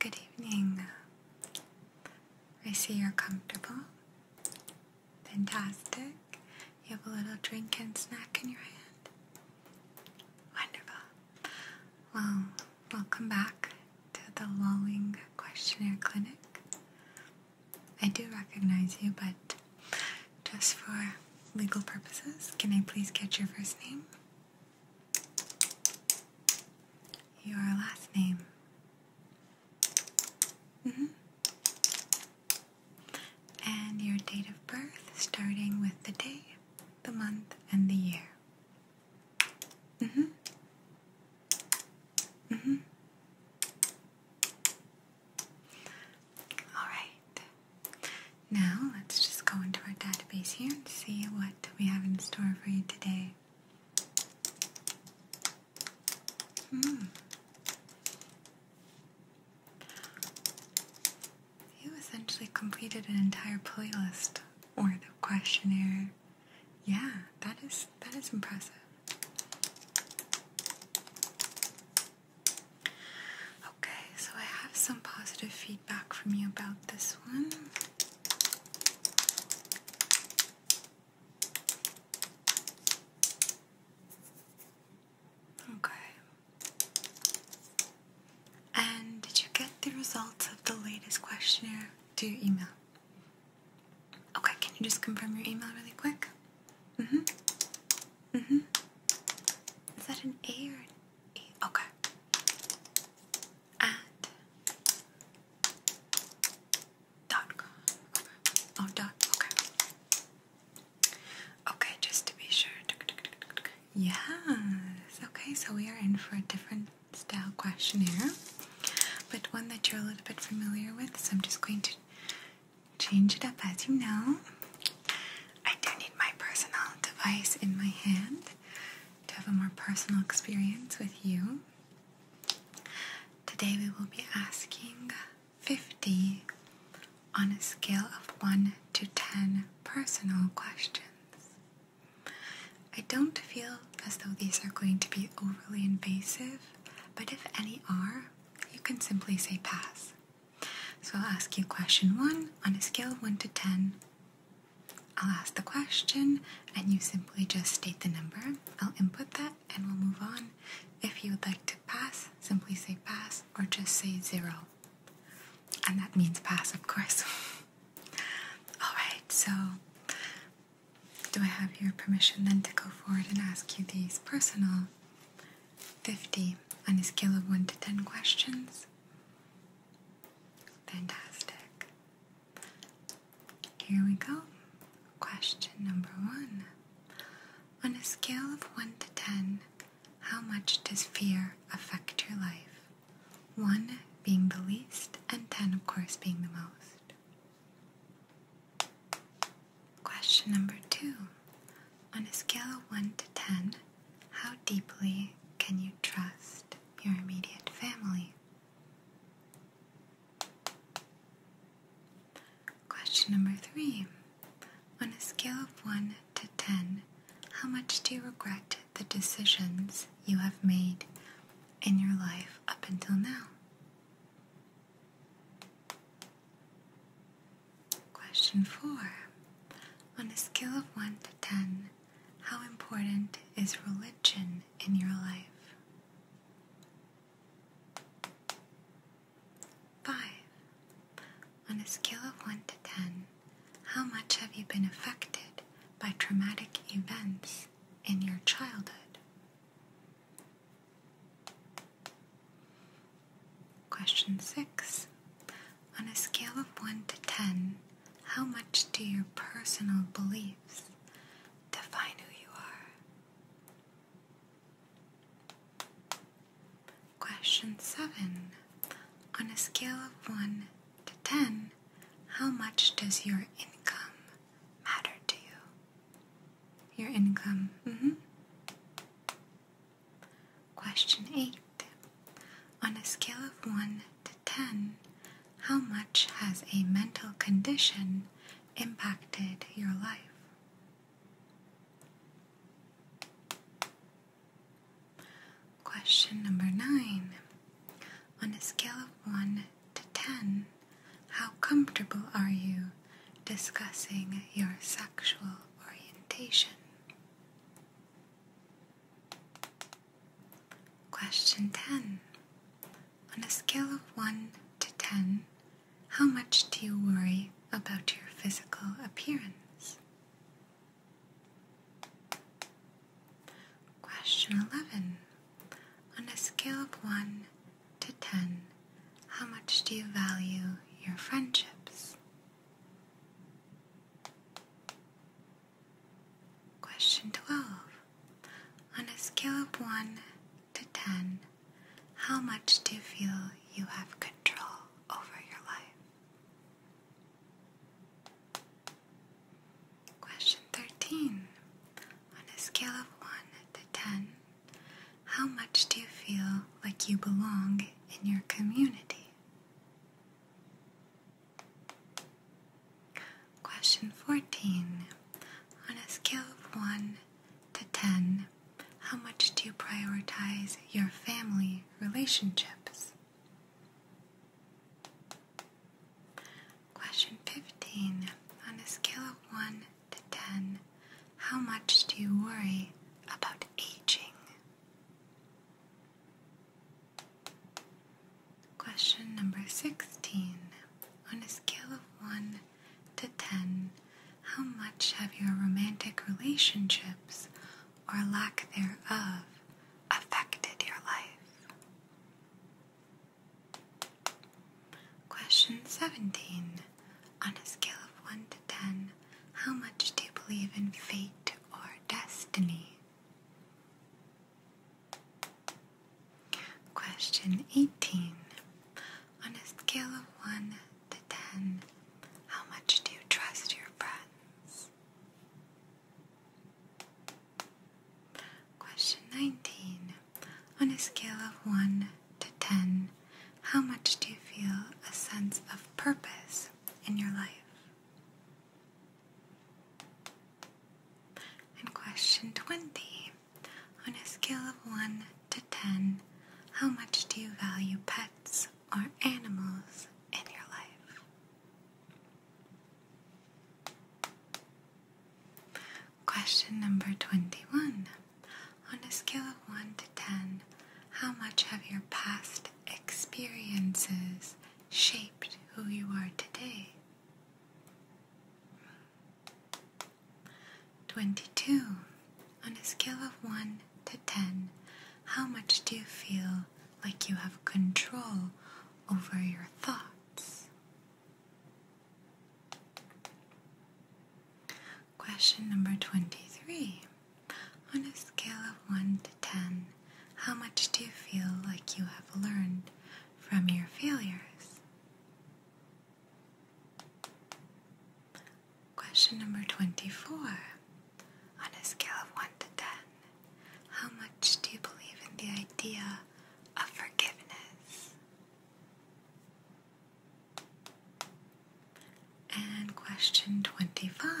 Good evening. I see you're comfortable. Fantastic. You have a little drink and snack in your hand. Wonderful. Well, welcome back to the Lulling Questionnaire Clinic. I do recognize you, but just for legal purposes, can I please get your first name? Your last name. -hmm. And your date of birth, starting with the day, the month, and the year. hmm. hmm. All right. Now let's just go into our database here and see what we have in store for you today. Hmm. You essentially completed an entire playlist or the questionnaire. Yeah, that is that is impressive. Okay, so I have some positive feedback from you about this one. Okay. And did you get the results of the latest questionnaire to your email? Okay, can you just confirm your email really quick? Mm hmm. Mm hmm. Is that an A Okay. At dot Okay. Oh, dot. Okay. Okay, just to be sure. Yes. Okay, so we are in for a different style questionnaire, but one that you're a little bit familiar with. So I'm just going to change it up as you know. I do need my personal device in my hand to have a more personal experience with you. Today we will be asking 50 on a scale of 1 to 10 personal questions. I don't feel as though these are going to be overly invasive, but if any are, you can simply say pass. So I'll ask you question 1 on a scale of 1 to 10. I'll ask the question and you simply just state the number. I'll input that and we'll move on. If you would like to pass, simply say pass or just say zero. And that means pass, of course. Alright, so do I have your permission then to go forward and ask you these personal 50 on a scale of 1 to 10 questions? Fantastic. Here we go. Question number one. On a scale of 1 to 10, how much does fear affect your life? 1 being the least, and 10, of course, being the most. Question number 2. On a scale of 1 to 10, how deeply can you trust your immediate family. Question number three. On a scale of 1 to 10, how much do you regret the decisions you have made in your life up until now? Question 4. On a scale of 1 to 10, how important is religion in your life? 5. On a scale of 1 to 10, how much have you been affected by traumatic events in your childhood? Question 6. On a scale of 1 to 10, how much do your personal beliefs define who you are? Question 7. On a scale of 1 to 10, how much does your income matter to you? Your income, mm-hmm. Question 8. On a scale of 1 to 10. How much has a mental condition impacted your life? Question number 9. On a scale of 1 to 10, how comfortable are you discussing your sexual orientation? Question 10. On a scale of 1 to 10, how much do you worry about your physical appearance? Question 11. On a scale of 1 to 10, how much do you value your friendships? Question 12. On a scale of 1 to 10, how much do you feel you have control over your life? Question 13. On a scale of 1 to 10, how much do you feel like you belong in your community? Question 14. On a scale of 1 to 10, how much do you prioritize your family relationships? Question 15. On a scale of 1 to 10, how much do you worry about aging? Question number 16. On a scale of 1 to 10, how much have your romantic relationships or lack thereof affected your life? Question 17. On a scale of 1 to 10, how much do you believe in fate or destiny? Question 18. On a scale of 1 to 10, how much do you trust your friends? Question 19. On a scale of 1 to 10, how much do you feel a sense of purpose in your life? And question 20. On a scale of 1 to 10, how much do you value pets or animals in your life? Question number 21. On a scale of 1 to 10, how much have your past experiences shaped who you are today. 22. On a scale of 1 to 10, how much do you feel like you have control over your thoughts? Question number 23. On a scale of 1 10, how much do you feel like you have learned from your failures? Question number 24. On a scale of 1 to 10, how much do you believe in the idea of forgiveness? And question 25.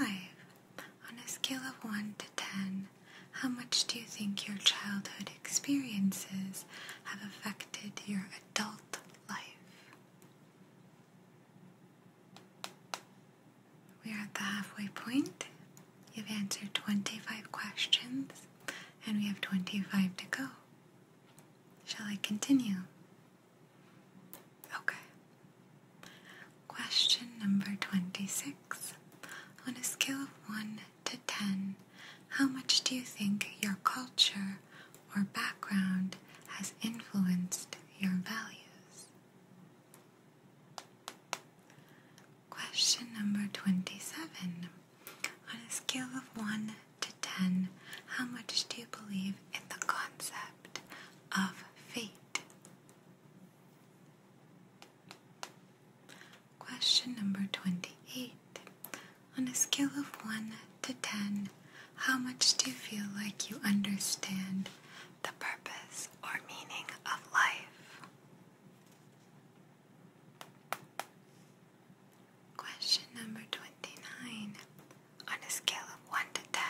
On a scale of 1 to 10, how much do you think your childhood experiences have affected your adult life? We are at the halfway point. You've answered 25 questions, and we have 25 to go. Shall I continue? Okay. Question number 26. On a scale of 1 to 10, how much do you think your culture or background has influenced your values? Question number 27. On a scale of 1 to 10, how much do you believe in the concept of fate? Question number 28. On a scale of 1 to 10, how much do you feel like you understand the purpose or meaning of life? Question number 29. On a scale of 1 to 10,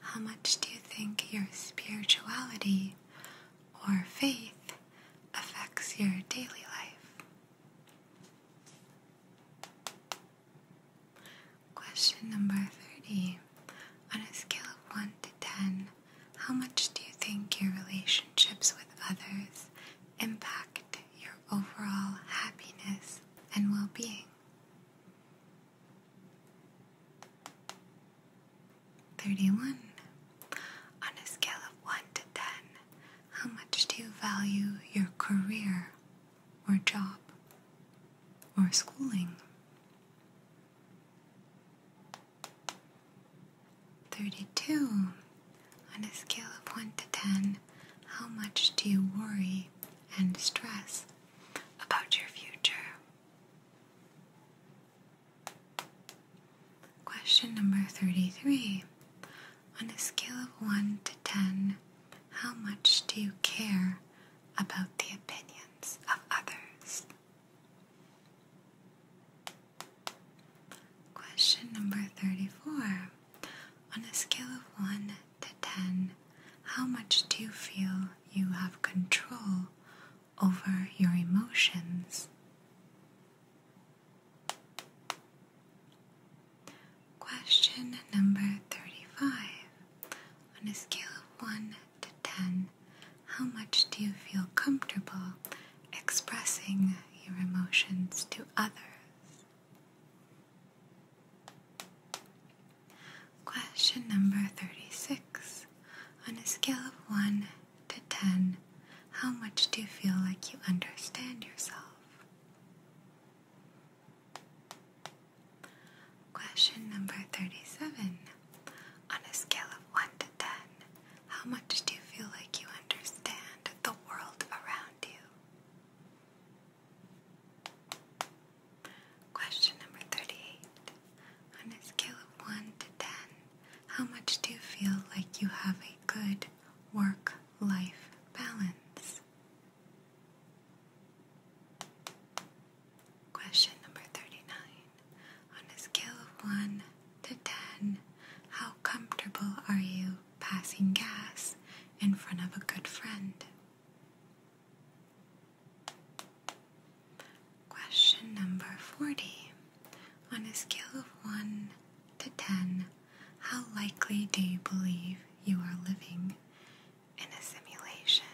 how much do you think your spirituality or faith affects your daily life. Question number 30. On a scale of 1 to 10, how much do you think your relationships with others impact your overall happiness and well being? 31. On a scale of 1 to 10, how much do you value your career or job or schooling? 32. On a scale of 1 to 10, how much do you worry and stress about your future? Question number 33. On a scale of 1 to 10, how much do you care about the opinions of others? Question number 34. On a scale of 1 to 10, how much do you feel you have control over your emotions. Question number 35. On a scale of 1 to 10, how much do you feel comfortable expressing your emotions to others? Question number 36. On a scale of 1 to 10, how much do you feel like you understand yourself? Question number 37. On a scale of 1 to 10, how much do you feel like you understand the world around you? Question number 38. On a scale of 1 to 10, how much do you feel like you have a good work life balance? Question number 39. On a scale of 1 to 10, how comfortable are you passing gas in front of a good friend? Question number 40. On a scale of 1 to 10, how likely do you believe you are living in a simulation?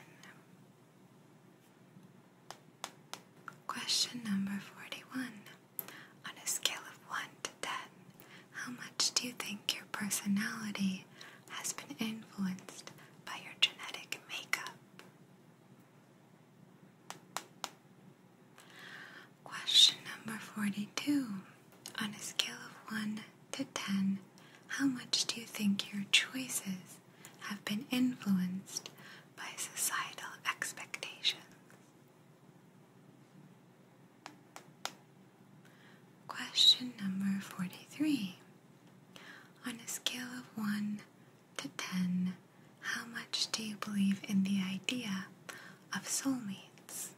Question number 41. On a scale of 1 to 10, how much do you think your personality has been influenced by your genetic makeup? Question number 42. On a scale of 1 to 10, how much do you think your choices have been influenced by societal expectations? Question number 43. On a scale of 1 to 10, how much do you believe in the idea of soulmates?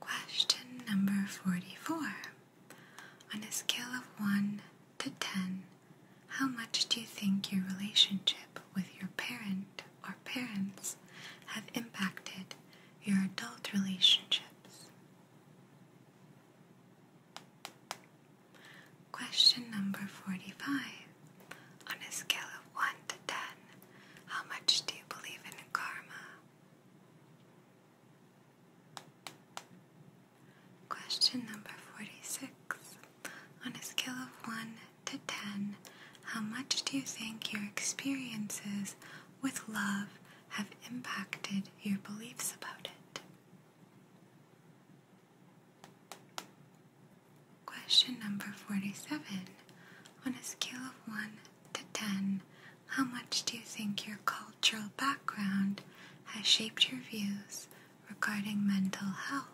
Question number 44. On a scale of 1 to 10, how much do you think your relationship with your parent or parents have impacted your adult relationships? Question number 45. On a scale of 1 to 10, how much do you believe in karma? Question number 46. On a scale of 1 to 10, how much do you think your experiences with love have impacted your beliefs about it? Question number 47. On a scale of 1 to 10, how much do you think your cultural background has shaped your views regarding mental health?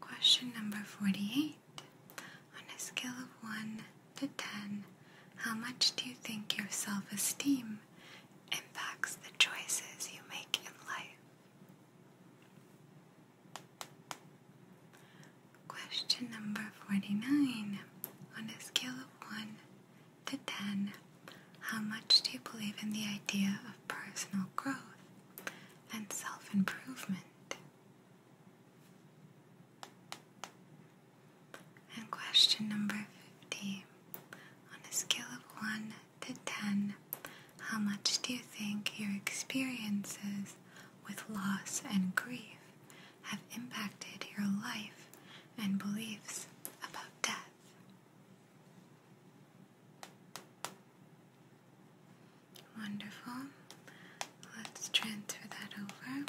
Question number 48. On a scale of 1 to 10, how much do you think your self esteem impacts the choices you make in life? Question number 49. On a scale of 1 to 10, how much do you believe in the idea of personal growth and self improvement? And question number fifteen: On a scale of 1 to 10, how much do you think your experiences with loss and grief have impacted your life and beliefs about death? Wonderful. Let's transfer that over.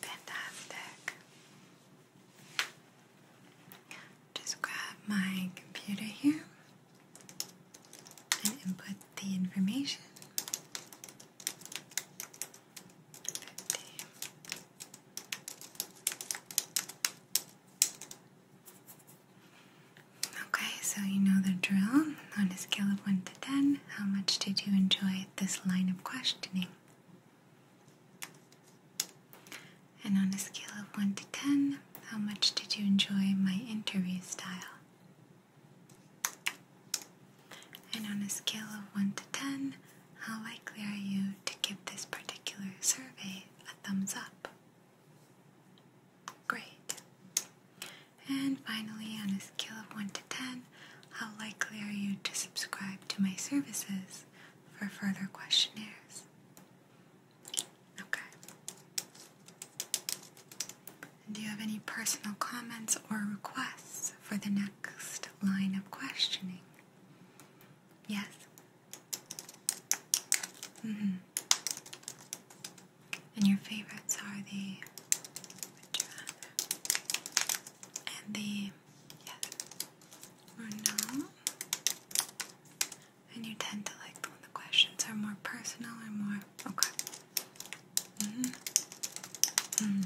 Fantastic. Just grab my computer here and input the information. Okay, so you know the drill. On a scale of 1 to 10, how much did you enjoy this line of questioning? And on a scale of 1 to 10, how much did you enjoy my interview style? And on a scale of 1 to 10, how likely are you to give this particular survey a thumbs up? Great. And finally, on a scale of 1 to 10, how likely are you to subscribe to my services for further questionnaires? Okay. Do you have any personal comments or requests for the next line of questioning? Yes. -hmm. And your favorites are the and the yes or no. And you tend to like the questions are more personal or more okay. Mm-hmm. Mm-hmm.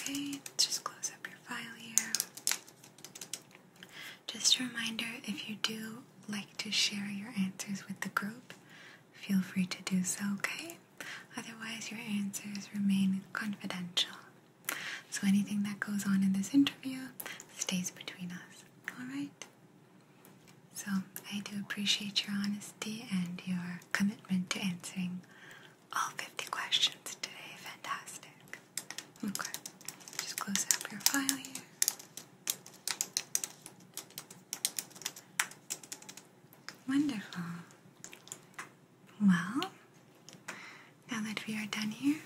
Okay, just close up your file here. Just a reminder if you do like to share your answers with the group, feel free to do so, okay? Otherwise, your answers remain confidential. So anything that goes on in this interview stays between us, alright? So I do appreciate your honesty and your commitment to answering all 50 questions today. Fantastic. Okay, just close up your file here. Wonderful. Well, now that we are done here,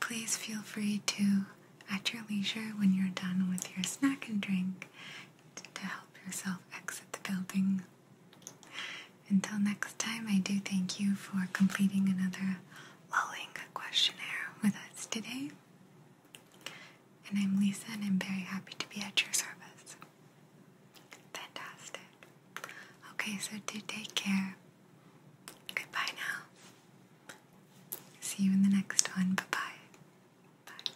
please feel free to, at your leisure, when you're done with your snack and drink, to help yourself exit the building. Until next time, I do thank you for completing another lulling questionnaire with us today. And I'm Lisa, and I'm very happy to be at your service. Fantastic. Okay, so take care. Goodbye now. See you in the next one. Bye-bye. Bye.